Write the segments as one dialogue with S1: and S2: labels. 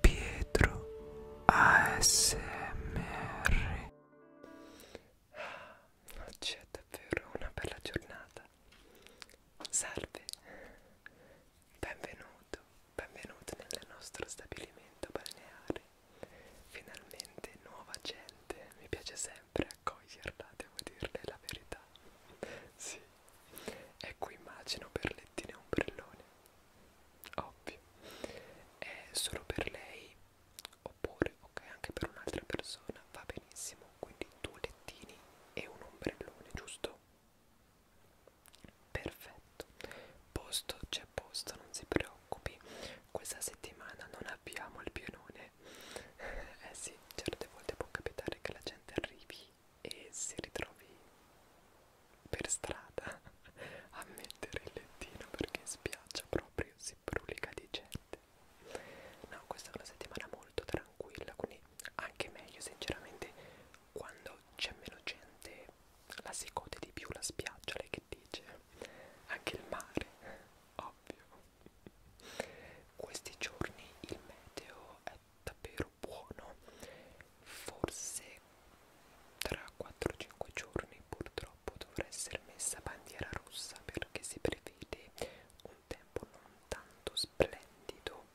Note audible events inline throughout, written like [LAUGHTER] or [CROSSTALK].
S1: Pietro ASMR Oggi è davvero una bella giornata Salve Benvenuto, benvenuto nel nostro stabilimento balneare Finalmente nuova gente, mi piace sempre accoglierla, devo dirle la verità Sì, Ecco immagino Berlettine e ombrellone. Ovvio. È solo per lei oppure ok anche per un'altra persona va benissimo. Quindi due lettini e un ombrellone, giusto? Perfetto. Posto c'è posto, non si preoccupi. Questa settimana non abbiamo il pienone. [LAUGHS] eh sì, certe volte può capitare che la gente arrivi e si ritrovi per strada a mettere il lettino perché in spiaggia proprio si brulica di gente no questa è una settimana molto tranquilla quindi anche meglio sinceramente quando c'è meno gente la si gode di più la spiaggia lei che dice anche il mare ovvio questi giorni il meteo è davvero buono forse tra 4-5 giorni purtroppo dovrà essere messa bandiera rossa perché si prevede un tempo non tanto splendido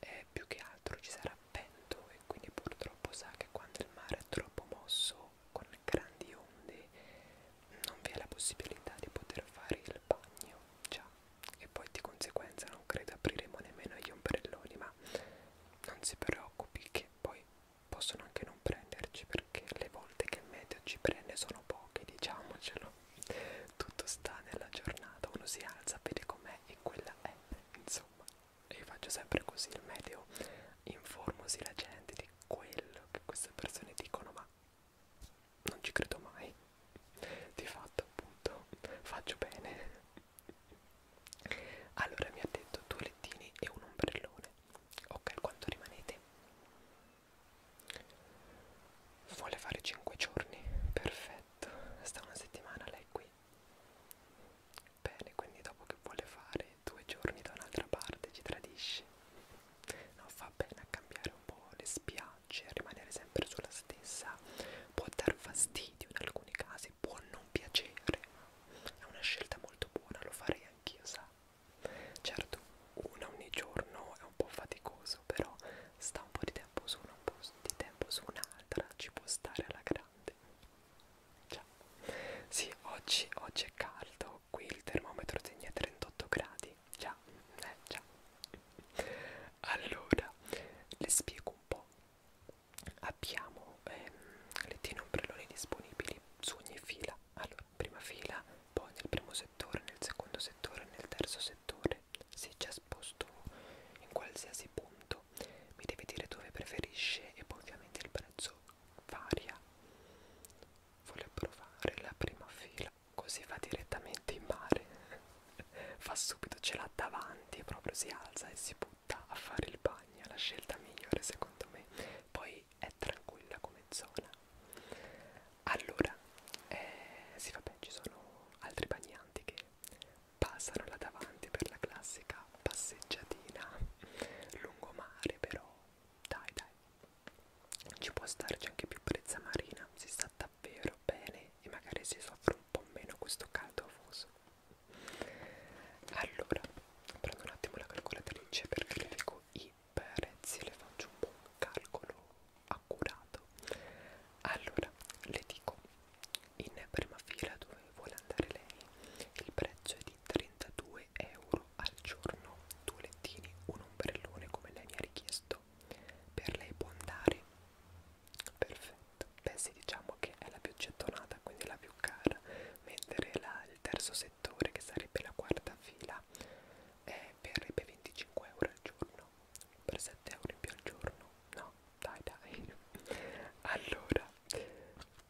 S1: eh, più che altro ci sarà vento e quindi purtroppo sa che quando il mare è troppo mosso con grandi onde non vi è la possibilità di poter fare il bagno già e poi di conseguenza non credo apriremo nemmeno gli ombrelloni ma non si preoccupi che poi possono anche non prenderci perché le volte che il meteo ci prende sono poche diciamocelo tutto sta nella giornata uno si alza vede com'è e quella è insomma io faccio sempre così il meteo informosi la gente di quello che queste persone dicono ma non ci credo mai di fatto appunto faccio bene allora mi ha detto due lettini e un ombrellone ok quanto rimanete vuole fare 5 giorni perfetto sta una settimana lei qui bene quindi dopo che vuole fare due giorni da un'altra parte ci tradisce no fa bene a cambiare un po' le spiagge facce, rimanere sempre sulla stessa può dar fastidio in alcuni casi, può non piacere, è una scelta molto buona, lo farei anch'io, sa. Certo, una ogni giorno è un po' faticoso, però sta un po' di tempo su una, un po' di tempo su un'altra, ci può stare alla grande. Ciao. Sì, oggi, oggi è caldo, qui il termometro segna 38 gradi. Già, eh, già. Allora, le spiego un po' abbiamo eh, lettine ombrelloni disponibili su ogni fila allora prima fila poi nel primo settore nel secondo settore nel terzo settore se già sposto in qualsiasi punto mi deve dire dove preferisce e poi ovviamente il prezzo varia voglio provare la prima fila così va direttamente in mare fa subito, ce l'ha davanti e proprio si alza e si butta a fare il bagno, la scelta migliore secondo me, poi è tranquilla come zona. Allora, eh, sì vabbè ci sono altri bagnanti che passano là davanti per la classica passeggiatina lungomare però dai dai ci può starci anche più brezza marina si sta da davvero bene e magari si soffre un po' meno questo caldo afoso allora prendo un attimo la calcolatrice perché le dico i prezzi le faccio un buon calcolo accurato allora le dico in prima fila dove vuole andare lei il prezzo è di 32 euro al giorno due lettini un ombrellone come lei mi ha richiesto questo per lei può andare perfetto beh sì diciamo che è la più gettonata quindi la più cara mentre la, il terzo settore che sarebbe la quarta fila eh, verrebbe 25 euro al giorno per 7 euro in più al giorno no dai dai [LAUGHS] allora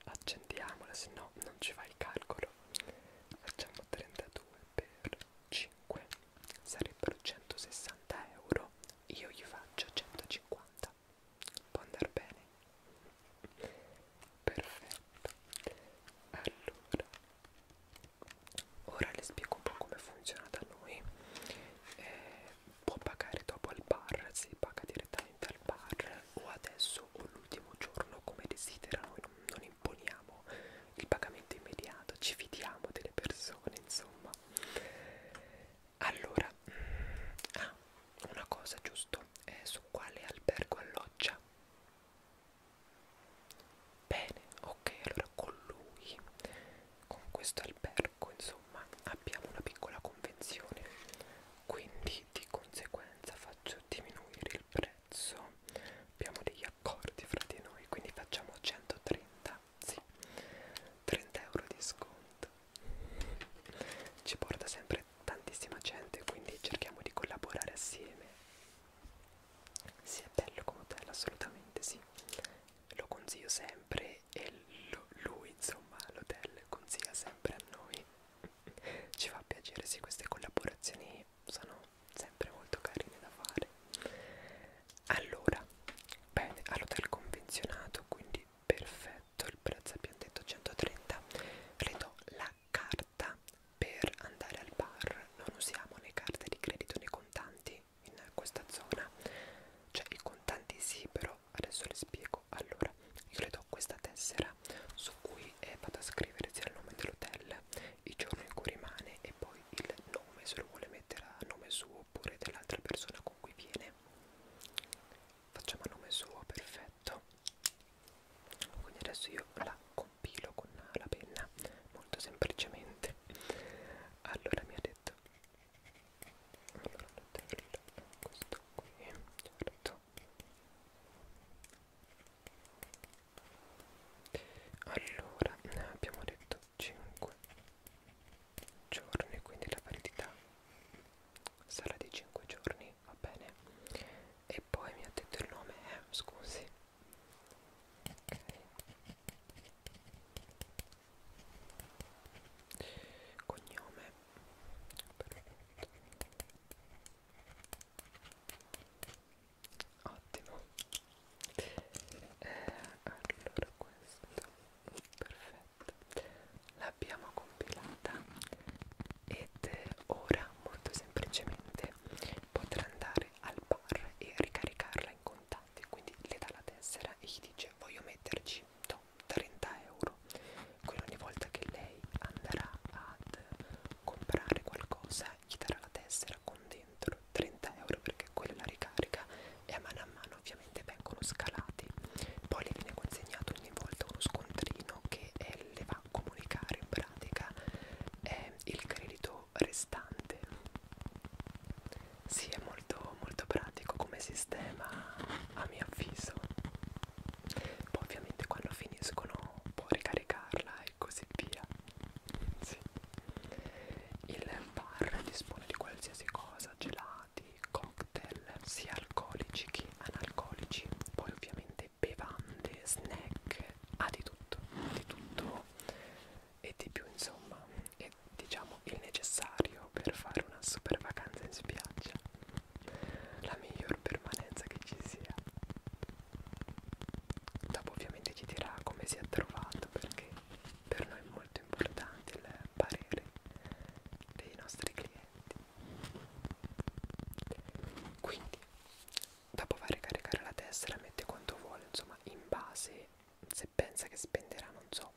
S1: accendiamola se no non ci fa il calcolo facciamo 32 per 5 sarebbero 160 euro io gli faccio 150 può andare bene perfetto allora ora le spiego un po' come funziona da noi eh, può pagare dopo al bar si paga direttamente al bar o adesso o l'ultimo giorno come desidera noi non, non imponiamo il pagamento immediato ci fidiamo delle persone insomma allora ah, una cosa giusto è su quale albergo alloggia bene ok allora con lui con questo albergo insomma abbiamo una piccola convenzione quindi di conseguenza faccio diminuire il prezzo abbiamo degli accordi fra di noi quindi facciamo 130 sì, 30 euro di sconto. Ci porta sempre tantissima gente, quindi cerchiamo di collaborare assieme. Sì, è bello come hotel, assolutamente sì. Lo consiglio sempre e lo, lui, insomma, l'hotel consiglia sempre a noi. Ci fa piacere, sì, queste collaborazioni sono sempre molto carine da fare allora bene all'hotel convenzionato quindi perfetto il prezzo abbiamo detto 130 le do la carta per andare al bar non usiamo né carte di credito né contanti in questa zona cioè i contanti sì però adesso le spiego allora io le do questa tessera su cui eh, vado a scrivere sia il nome dell'hotel il giorno in cui rimane e poi poi il nome se lo vuole mettere a nome suo oppure dell'altra persona con cui viene facciamo a nome suo perfetto quindi adesso io la compilo con la penna molto semplicemente allora mi ha detto allora questo qui certo allora abbiamo detto 5 giorni quindi la validità sarà di 5 giorni va bene e poi mi ha detto il nome eh, scusi ok cognome perfetto ottimo eh, allora questo perfetto l'abbiamo compilata ed ora molto semplicemente potrà andare al bar e ricaricarla in contanti quindi le dà la tessera e gli dice voglio metterci no, 30 euro quindi ogni volta che lei andrà ad comprare qualcosa gli darà la tessera con dentro 30 euro perché quella è la ricarica e a mano a mano ovviamente vengono scalati poi le viene consegnato ogni volta uno scontrino che eh, le va a comunicare in pratica eh, il credito restante sì è molto molto pratico come sistema a mio avviso poi ovviamente quando finiscono può ricaricarla e così via sì. Il bar dispone di qualsiasi cosa, gelati, cocktail, sia alcolici che analcolici, poi ovviamente bevande, snack, ha ah, di tutto, di tutto e di più insomma, è diciamo il necessario per fare una super vacanza in spiaggia, la miglior permanenza che ci sia. Dopo ovviamente ci dirà come si è trovato perché per noi è molto importante il parere dei nostri clienti quindi dopo va a ricaricare la testa la mette quanto vuole insomma in base se pensa che spenderà non so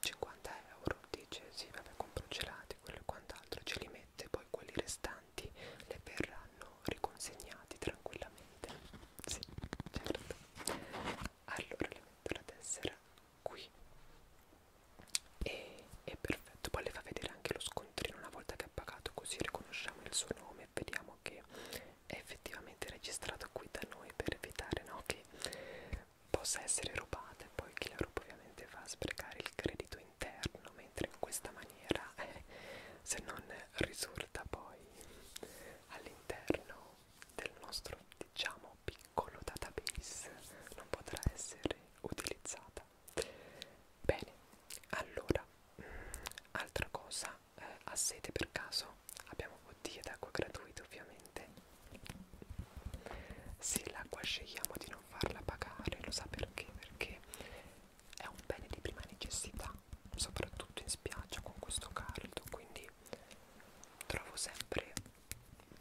S1: 50 euro dice sì vabbè compro gelati quello e quant'altro ce li mette poi quelli restanti le verranno riconsegnati tranquillamente ovviamente sì, certo allora le metto la tessera qui e è perfetto poi le fa vedere anche lo scontrino una volta che ha pagato così riconosciamo il suo nome e vediamo che è effettivamente registrato qui da noi per evitare no, che possa essere rubata e poi chi la ruba ovviamente va a sprecare il credito interno mentre in questa maniera eh, se non risulta poi all'interno del nostro diciamo piccolo database non potrà essere utilizzata bene allora mh, mm, altra cosa eh, a sete per caso abbiamo bottiglie d'acqua gratuite ovviamente se l'acqua scegliamo di non farla pagare lo sa perché perché è un bene di prima necessità soprattutto in spiaggia con questo caldo quindi trovo sempre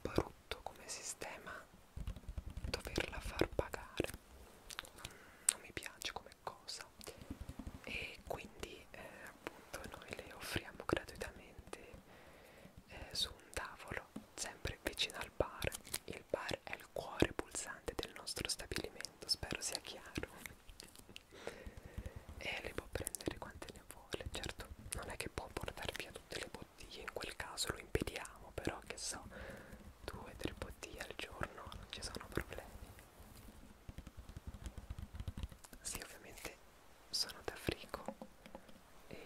S1: brutto come sistema doverla far pagare non, non mi piace come cosa e quindi eh, appunto noi le offriamo gratuitamente eh, su un tavolo sempre vicino al bar il bar è il cuore pulsante del nostro stabilimento spero sia chiaro e le può prendere quante ne vuole certo non è che può portare via tutte le bottiglie in quel caso lo impediamo però che so due tre bottiglie al giorno non ci sono problemi sì ovviamente sono da frigo e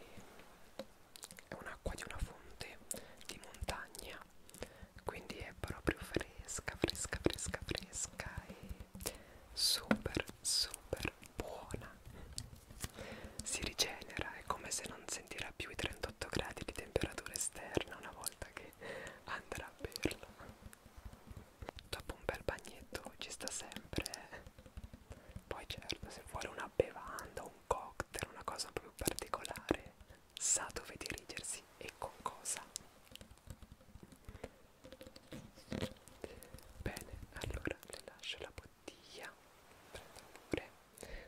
S1: è un'acqua di una fonte di montagna quindi è proprio fresca fresca fresca fresca e super super buona si rigenera è come se non sentirà più i 38 gradi di temperatura esterna una volta che andrà a berlo dopo un bel bagnetto ci sta sempre eh. poi certo se vuole una bevanda un cocktail una cosa proprio particolare sa dove dirigersi e con cosa Bene, allora le lascio la bottiglia, prendo pure.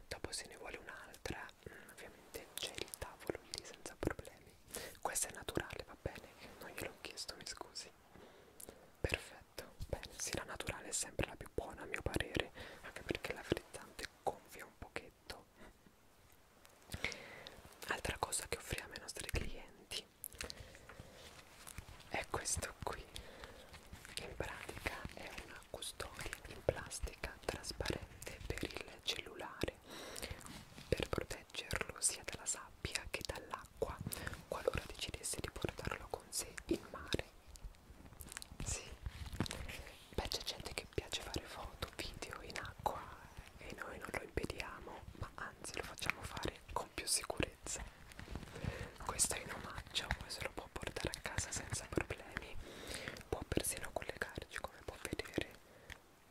S1: Dopo se ne vuole un'altra, mm, ovviamente c'è il tavolo lì senza problemi. Questa è naturale, va bene? Non gliel'ho chiesto, mi scusi. Perfetto, bene, sì la naturale è sempre la più buona a mio parere, anche perché la frizzante gonfia un pochetto. Altra cosa che offriamo ai nostri clienti è questo qui, in pratica è una custodia in plastica trasparente per il cellulare per proteggerlo sia dalla sabbia che dall'acqua qualora decidesse di portarlo con sé in mare. Sì, beh c'è gente che piace fare foto, video in acqua, e noi non lo impediamo, ma anzi lo facciamo fare con più sicurezza. Questo è in omaggio, poi se lo può portare a casa senza problemi, può persino collegarci come può vedere.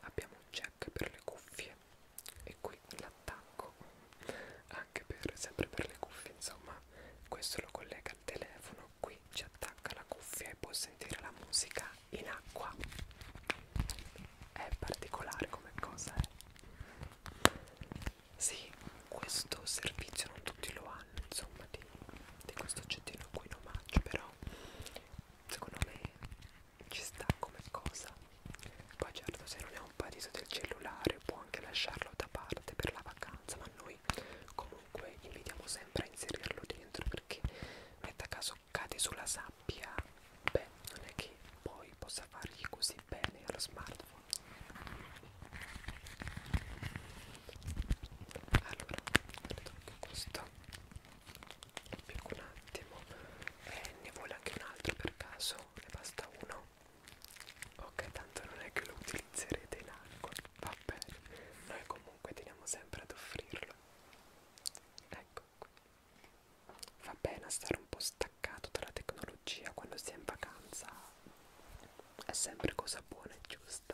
S1: Abbiamo un jack per le cuffie e qui l'attacco anche per, sempre per le cuffie, insomma, questo lo collega al telefono, qui ci attacca la cuffia e può sentire la musica in acqua è particolare come cosa eh? sì questo servizio non tutti lo hanno insomma di, di questo oggettino qui in omaggio però secondo me ci sta come cosa poi certo se non è un paradiso del cellulare può anche lasciarlo da parte per la vacanza ma noi comunque invitiamo sempre a inserirlo dentro perché metta caso adesso cade sulla sabbia beh non è che poi possa fargli così bene allo smartphone allora tocco questo Più un attimo eh, ne vuole anche un altro per caso ne basta uno ok tanto non è che lo utilizzerete in acqua va bene noi comunque teniamo sempre ad offrirlo ecco fa bene a stare un po' staccato dalla tecnologia quando si è in vacanza è sempre cosa buona e giusta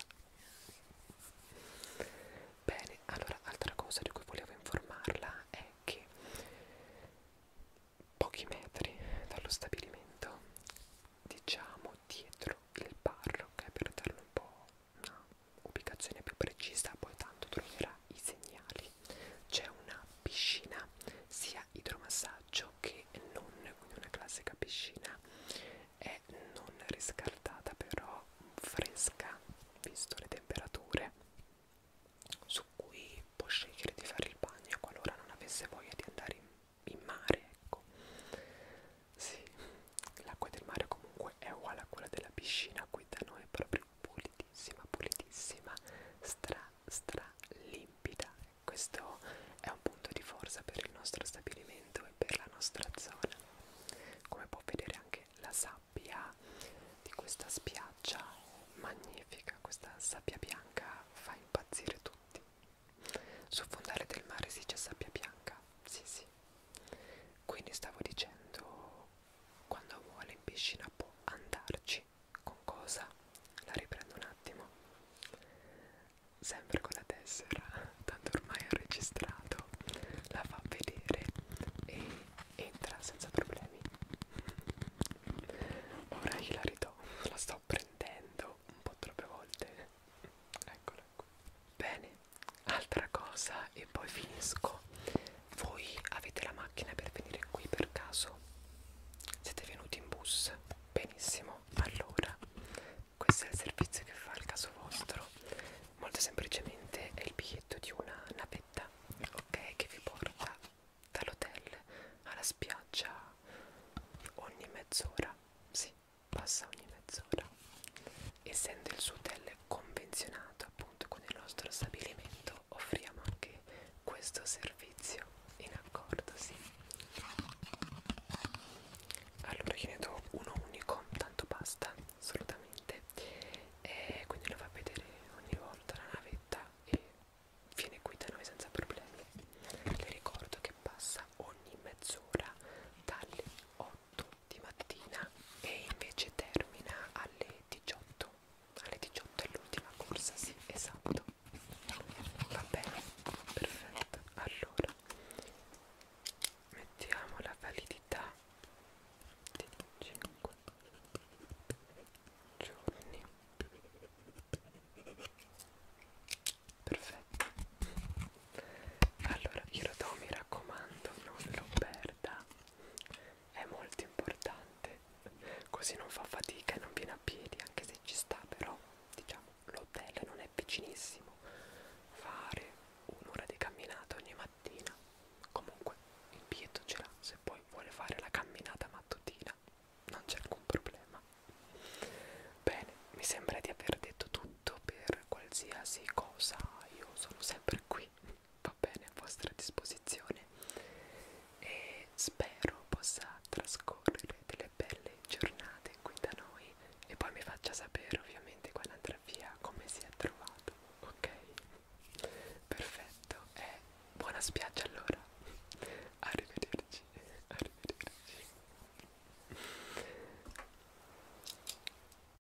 S1: bene allora altra cosa di cui volevo informarla è che pochi metri dallo stabilimento diciamo dietro il bar ok per darlo un po' una ubicazione più precisa, poi tanto troverà i segnali. C'è una piscina sia idromassaggio che non, quindi una classica piscina è non riscaldata però fresca visto le temperature su cui può scegliere di fare il bagno qualora non avesse voglia di andare in, in mare ecco sì l'acqua del mare comunque è uguale a quella della piscina qui da noi è proprio pulitissima, pulitissima, stra, stra limpida. Questo è un punto di forza per il nostro stabilimento e per la nostra zona. Come può vedere anche la sabbia di questa spiaggia magnifica, questa sabbia bianca fa impazzire tutti. Sul fondale del mare si c'è sabbia bianca, sì sì. Quindi stavo dicendo quando vuole in piscina può andarci con cosa? La riprendo un attimo sempre con la tessera tanto ormai ho registrato la fa vedere e entra senza problemi ora gliela ridò la sto prendendo un po' troppe volte eccola qui bene altra cosa e poi finisco voi avete la macchina per venire qui per caso siete venuti in bus benissimo allora questo è il servizio che fa il caso vostro molto semplicemente è il biglietto di una navetta ok che vi porta dall'hotel alla spiaggia ogni mezz'ora si sì, passa ogni mezz'ora essendo il suo hotel convenzionato appunto appunto con il nostro stabilimento offriamo anche questo servizio in accordo, sì. Allora io ne do uno unico, tanto basta, assolutamente. E quindi lo fa vedere ogni volta la navetta e viene qui da noi senza problemi. Le ricordo che passa ogni mezz'ora dalle 8 di mattina e invece termina alle 18 alle 18 è l'ultima corsa sì esatto va bene perfetto allora mettiamo la validità di 5 giorni perfetto allora glielo do mi raccomando non lo perda è molto importante così non fa fatica e non viene a piedi anche se ci sta però diciamo l'hotel non è vicinissimo fare un'ora di camminata ogni mattina comunque il biglietto ce l'ha se poi vuole fare la camminata mattutina non c'è alcun problema bene mi sembra di aver detto tutto per qualsiasi cosa io sono sempre qui va bene a vostra disposizione e spero possa trascorrere delle belle giornate qui da noi e poi mi faccia sapere ovviamente quando andrà via come si è trovato, ok? Perfetto e eh, buona spiaggia allora, arrivederci, arrivederci.